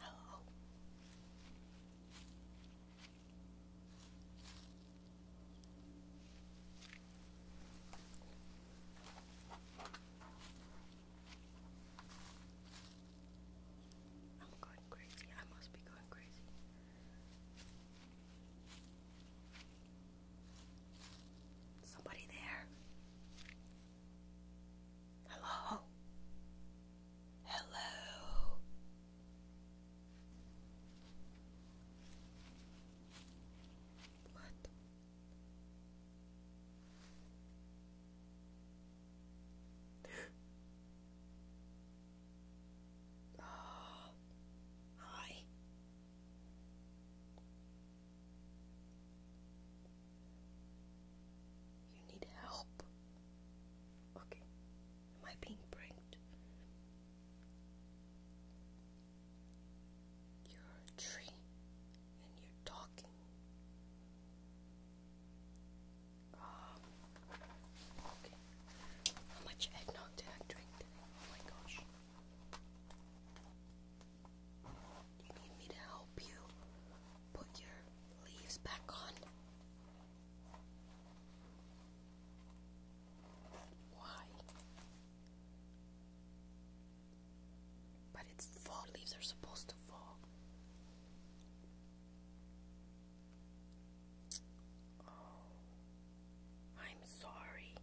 Hello. I'm going crazy. I must be going crazy. Somebody there? Hello? Hello? What? Oh, hi. You need help. Okay. Am I being pranked? You're a tree and you're talking. Um, okay. How much eggnog did I drink today? Oh my gosh. You need me to help you put your leaves back on? Why? But it's fall. Leaves are supposed to fall. Oh. I'm sorry.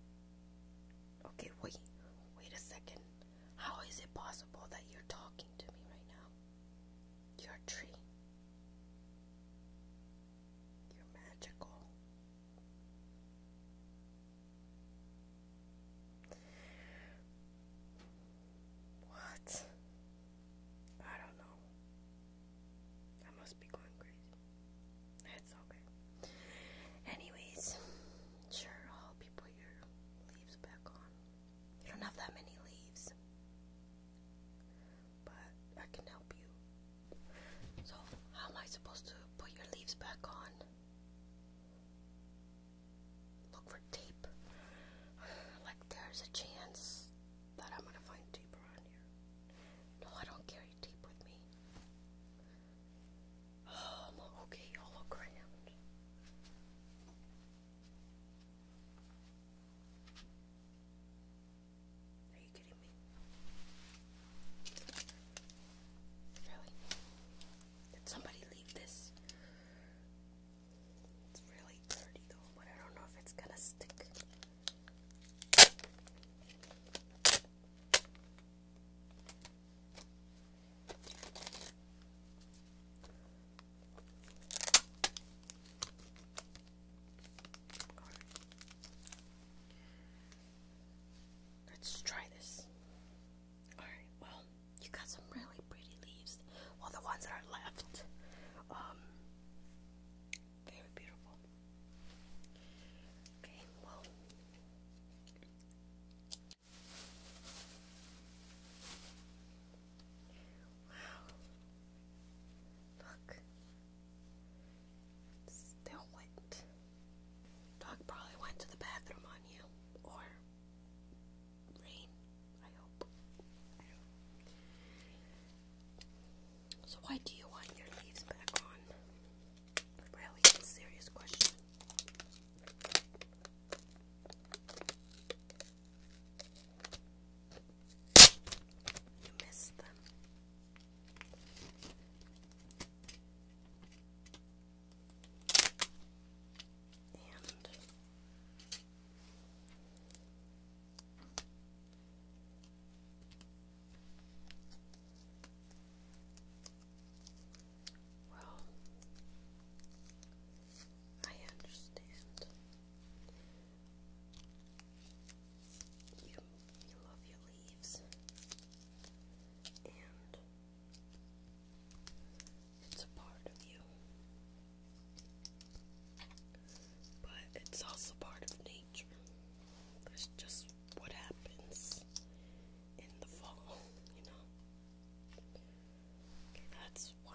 Okay, wait. Wait a second. How is it possible that you're talking to me right now? You're a tree. You're magical. What? I don't know. I must be going crazy. It's okay. Anyways, sure, I'll put your leaves back on. You don't have that many leaves, but I can help you. So, how am I supposed to put your leaves back on? Look for tape. Like, there's a chance that I'm gonna find tape around here. No, I don't care deep with me. Oh, I'm okay, holograms. Are you kidding me? Really? Did somebody leave this? It's really dirty though, but I don't know if it's gonna stick. Let's try this. Alright, well, you got some really pretty leaves. Well, the ones that are left. Um, very beautiful. Okay, well. Wow. Look. Still wet. Dog probably went to the bathroom on you. Or rain. I hope. So why do you want your leaves back on? Really, serious question. You missed them. Well, I understand. You love your leaves, and it's a part of you, but it's also part of nature. There's just what happens in the fall, you know. that's one.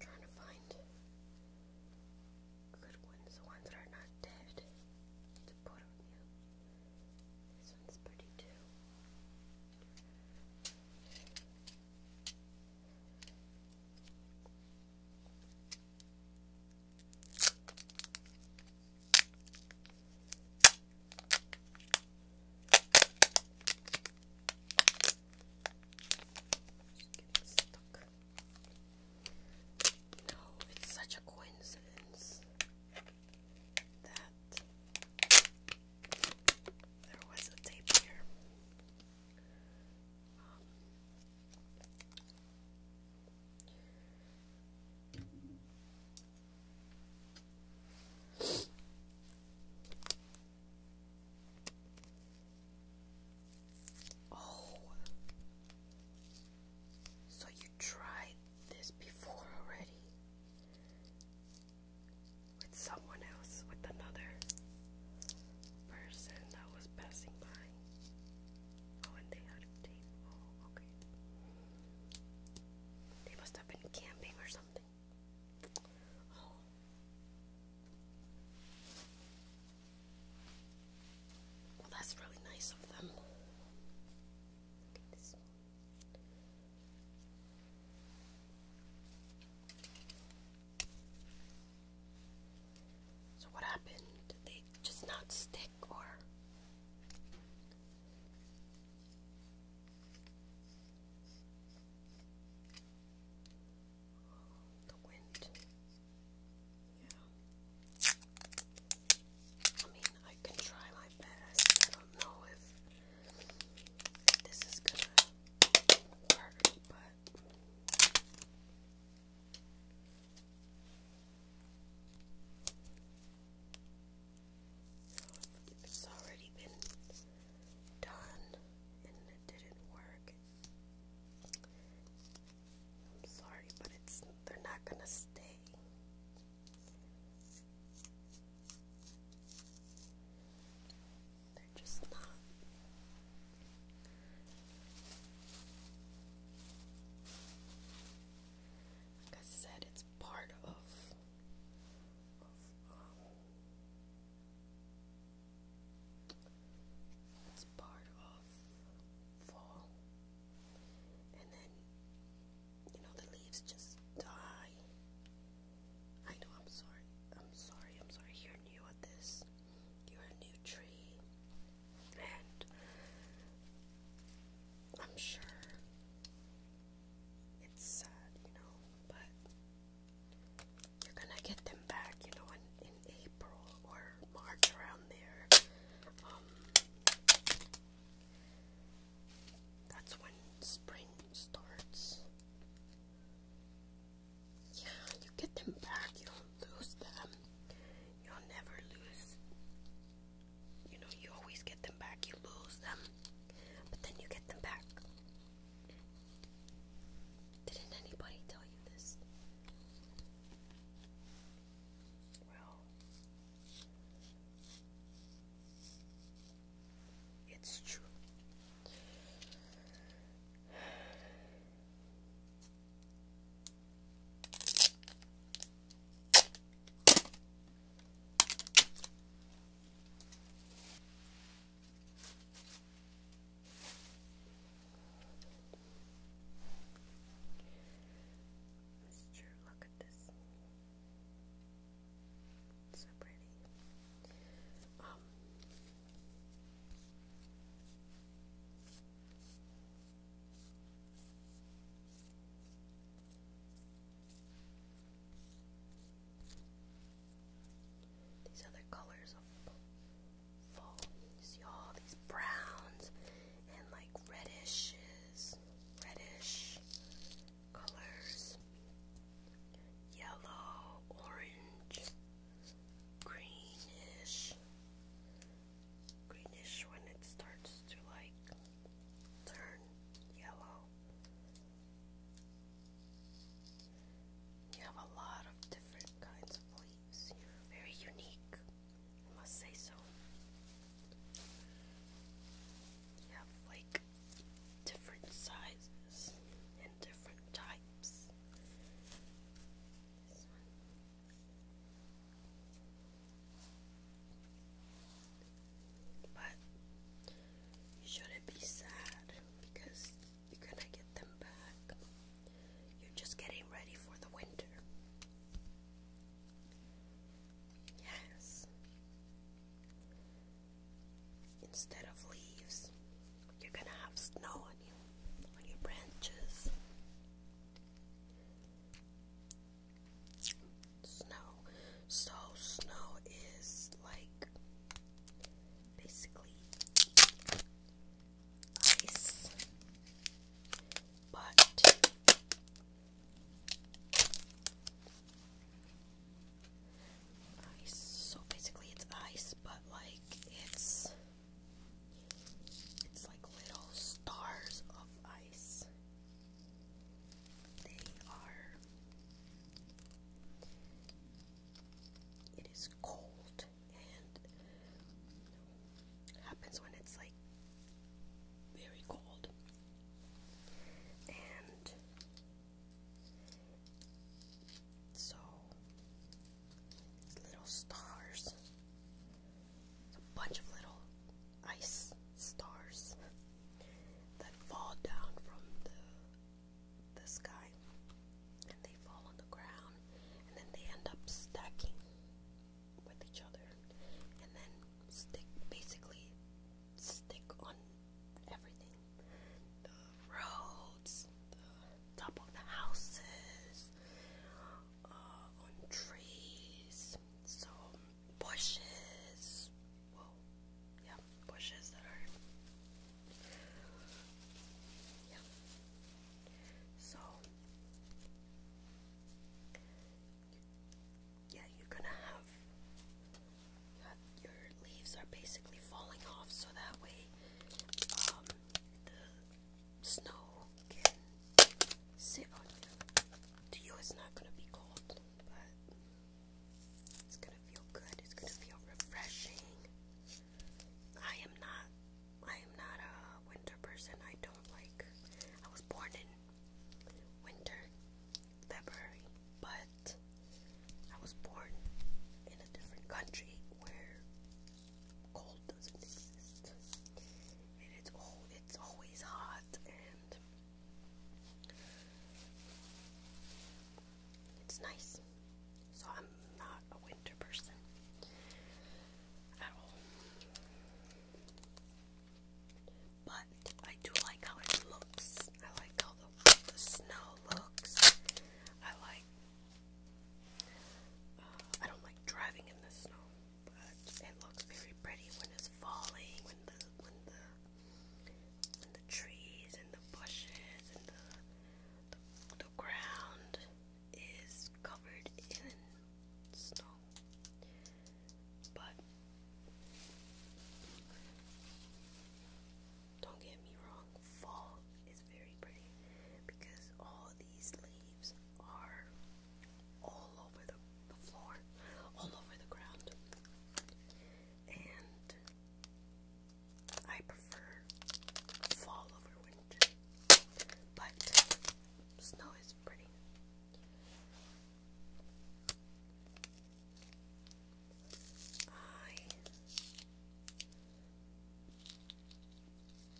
trying to find good ones, the ones that are not dead to put on you. This one's pretty too. Just stuck. No, it's such a coincidence that there was a tape here. Um, oh, so you tried this before already with someone else, with another person that was passing by. Oh, and they had a tape. Oh, okay. They must have been camping or something. Oh. that's really nice of them. So what happened? Did they just not stick or the wind? Yeah. I mean, I can try my best. I don't know if this is gonna work, but. it's already been done and it didn't work, I'm sorry, but it's they're not gonna stay. They're just not. Like I said, it's part of, um, it's part of fall, and then you know, the leaves just die. I know, I'm sorry. I'm sorry, I'm sorry. You're new at this. You're a new tree. And I'm sure it's sad, you know, but you're gonna get them back, you know, in, in April or March around there. Um, that's when spring starts. Yeah, you get them back, you don't lose them. You'll never lose. You know, you always get them back, you lose them. But then you get them back. Didn't anybody tell you this? Well, it's true. Mr. Look at this. So pretty. Um, these other colors of fall. You see all these browns and like reddishes, reddish, colors yellow, orange, greenish, greenish when it starts to like turn yellow. You have a lot of different kinds of leaves. Very unique, I must say so. You have like different sizes and different types. But you shouldn't be sad because you're gonna get them back. You're just getting ready for the winter. Yes. Instead of leaves, you're gonna have snow on your branches. Snow. So, snow is like basically ice, but Ice. So basically, it's ice, but like it's it's like little stars of ice. They are. It is cold and happens when it's like very cold. And so, little stars. a bunch of little ice stars that fall down from the, the sky. And they fall on the ground. And then they end up stacking with each other. And then stick basically stick on everything the roads, the top of the houses, uh, on trees, so bushes. Whoa, yeah, bushes that are. Yeah. So yeah, you're gonna have, your leaves are basically falling off, so that way um, the snow can sit on you. To you, it's not gonna be cold, but it's gonna feel good. It's gonna feel refreshing. I am not. I am not a winter person. I don't like. I was born in winter, February, but I was born in a different country where cold doesn't exist. And it's all it's always hot and it's nice. So I'm not a winter person at all but I do like how it looks. I like how the, snow looks. I like. Uh, I don't like driving in the snow, but it looks very pretty when it's falling, when the when the when the trees and the bushes and the the, the ground is covered in snow. But don't get me wrong, fall is very pretty because all these leaves are all over the, floor, all over the ground. And I prefer fall over winter, but snow is pretty. I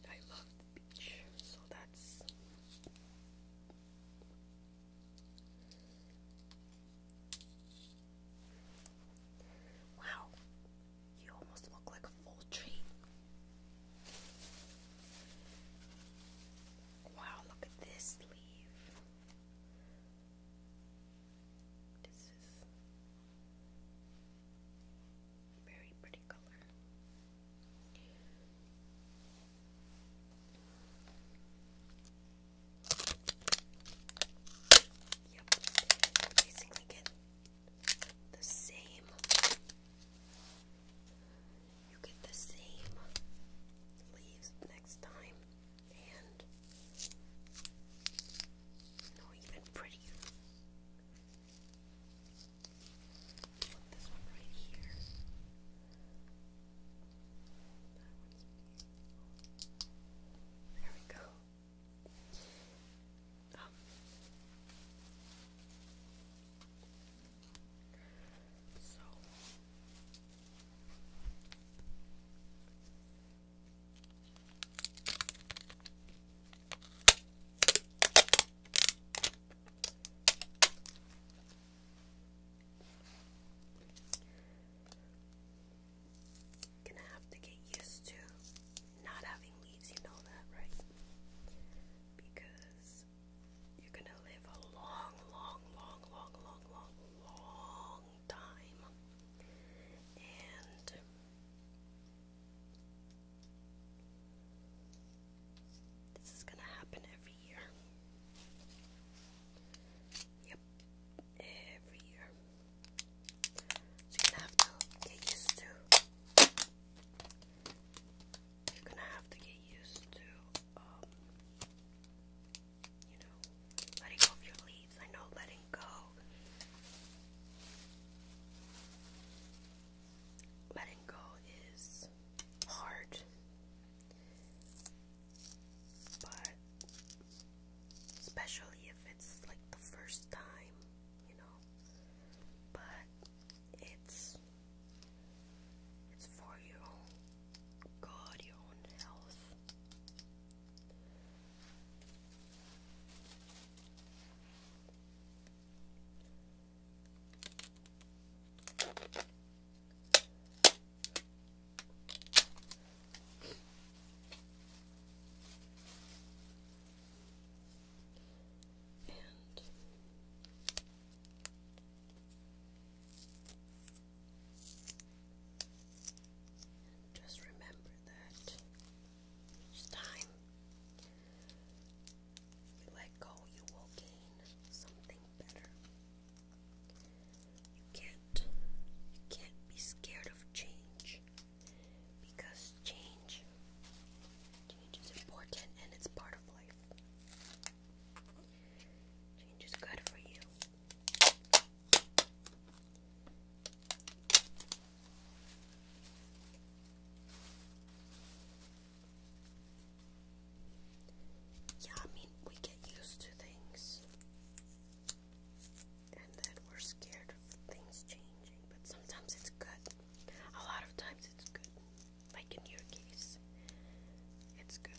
I love the beach, so that's Wow, you almost look like a full tree. Wow, look at this leaf. This is very pretty color. Yep, basically get the same. You get the same leaves next time and you know, even prettier. Put this one right here. That one's beautiful. There we go. Um, so, Gonna have to get used to not having leaves, you know that, right? Because you're gonna live a long, long, long, long, long, long, long time. And this is gonna happen every year. Yep, every year. you're gonna have to get used to. You're gonna have to get used to um, you know, letting go of your leaves. I know letting go. Letting go is hard, but especially if it's like the first time, you know. But it's it's for your guard your own health. And just remember that each time you let go, you will gain something better. You can't, you can't be scared of change because change, change is important and it's part of life. Change is good for you. Yeah, I mean, we get used to things and then we're scared of things changing, but sometimes it's good. A lot of times it's good, like in your case, it's good.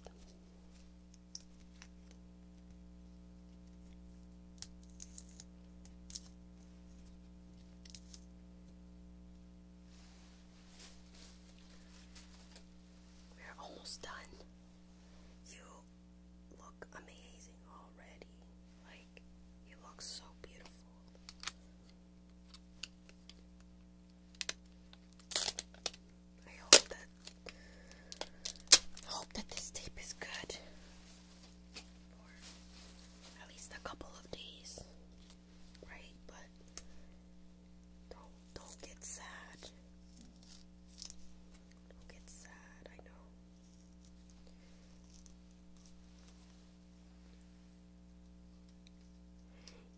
We're almost done. You look amazing already. Like, you look so beautiful. I hope that I hope that this tape is good. Or at least a couple of days. Right? But don't don't get sad. Don't get sad, I know.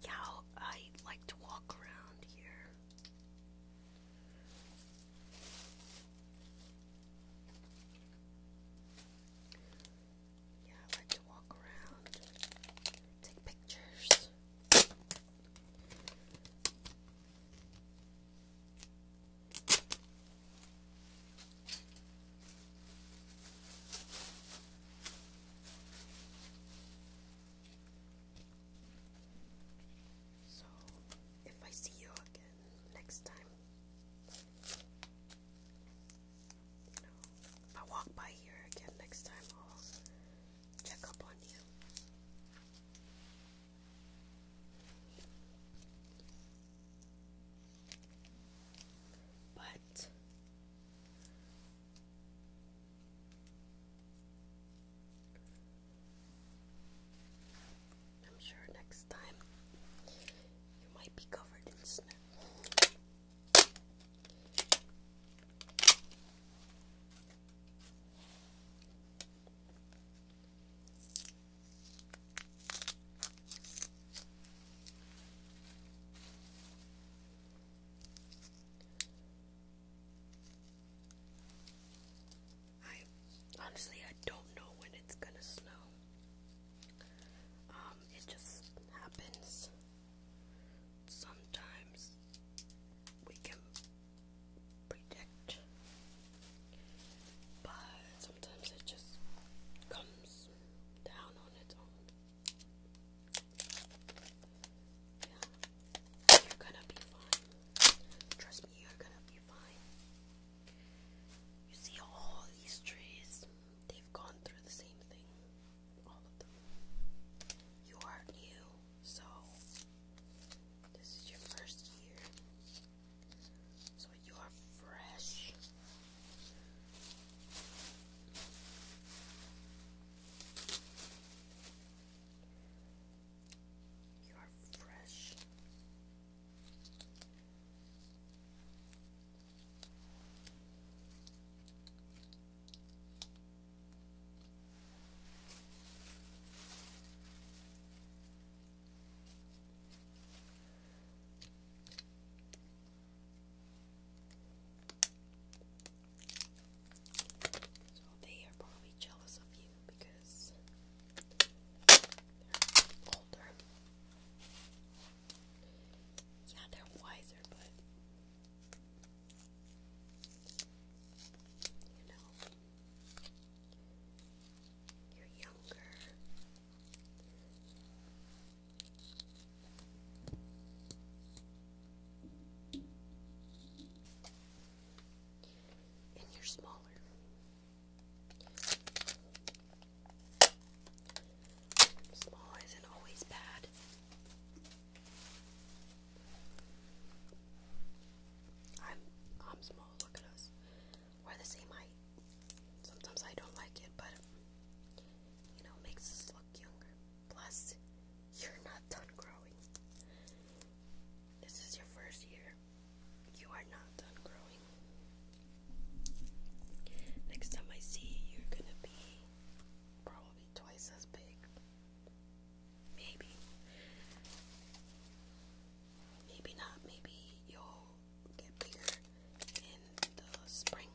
Yeah, I like to walk around here. Yeah, I like to walk around, take pictures. So, if I see you again next time, you know, if I walk by here again next time, I'll check up on you. But I'm sure next time you might be covered in snow. I honestly I don't know when it's gonna snow. Um, it just happens. Sometimes we can predict, but sometimes it just comes down on its own. Yeah, you're gonna be fine. Trust me, you're gonna be be You see all these trees, they've gone through the same thing. All of them. You are new, so this is your first year. So you are fresh. You're fresh. So they are probably jealous of you because they're older. Yeah, they're wiser, but you know, you're younger. And you're smaller. Small isn't always bad. I'm I'm small, look at us. We're the same height. Sometimes I don't like it, but you know, makes us look younger. Plus, you're not done growing. This is your first year. You are not done growing. Next time I see you, you're gonna be probably twice as big. Maybe. Maybe not. Maybe you'll get bigger in the spring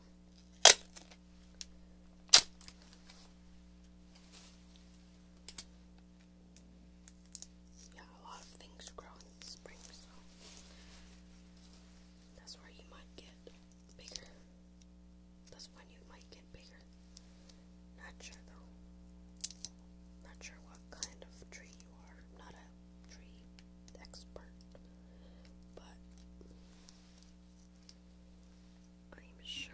yeah, a lot of things grow in spring, so that's where you might get bigger. That's when you might get bigger. Not sure though. Not sure what kind of tree you are. not a tree expert, but I'm sure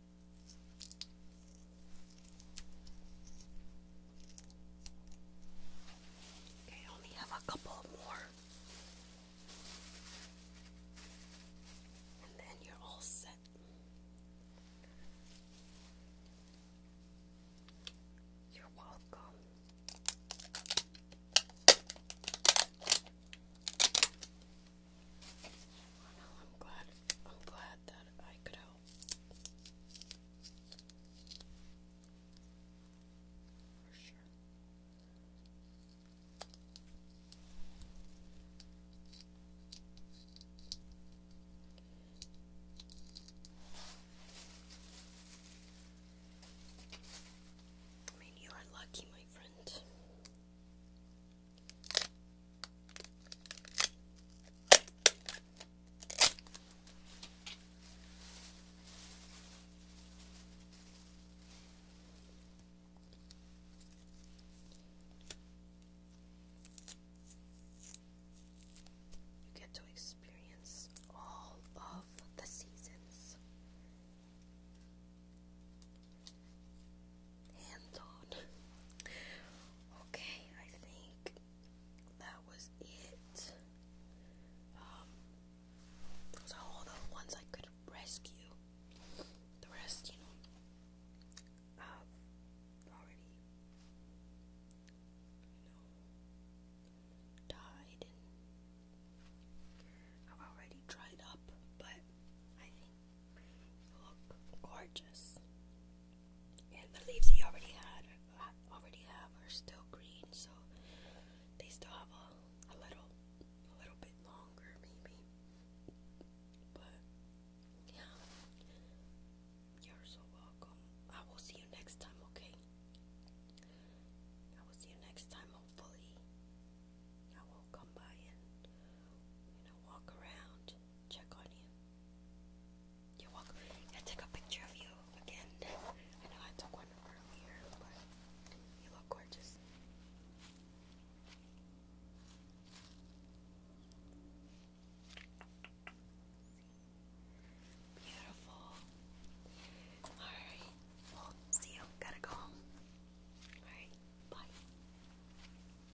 Okay, only have a couple more. And then you're all set. You're welcome. I'm glad. I'm glad that I could help. For sure. I mean, you are lucky, my friend. You get to experience all of the seasons hands on. Okay, I think that was it. Um, those are all the ones I could rescue. The rest, you know, I've already, you know, died I've already dried up, but I think look gorgeous. And the leaves that you already had, already have, are still green, so they still have a, a little, a little bit longer, maybe. But yeah, you're so welcome. I will see you next time, okay? I will see you next time. Hopefully, I will come by and you know walk around check on you. You're welcome. I took a picture of you again. I know I took one earlier, but you look gorgeous. Beautiful. Alright. see you. Gotta go home. Alright. Bye.